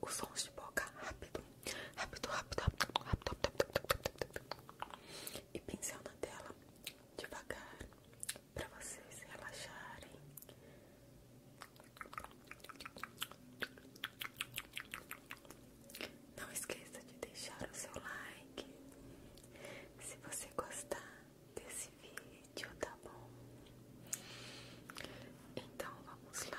os sons de boca rápido, rápido, rápido, rápido, rápido, e pincel na tela devagar para vocês relaxarem. Não esqueça de deixar o seu like se você gostar desse vídeo, tá bom? Então vamos lá.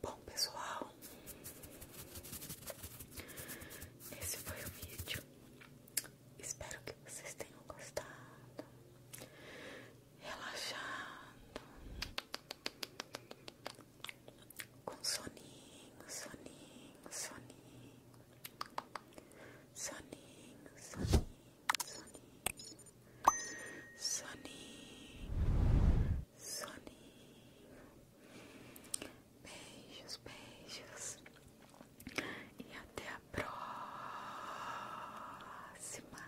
Bom, pessoal, esse foi o vídeo. Espero que vocês tenham gostado, relaxado, com soninho, soninho, soninho, soninho, soninho soninho, soninho, soninho. Beijos, beijos. E até a próxima.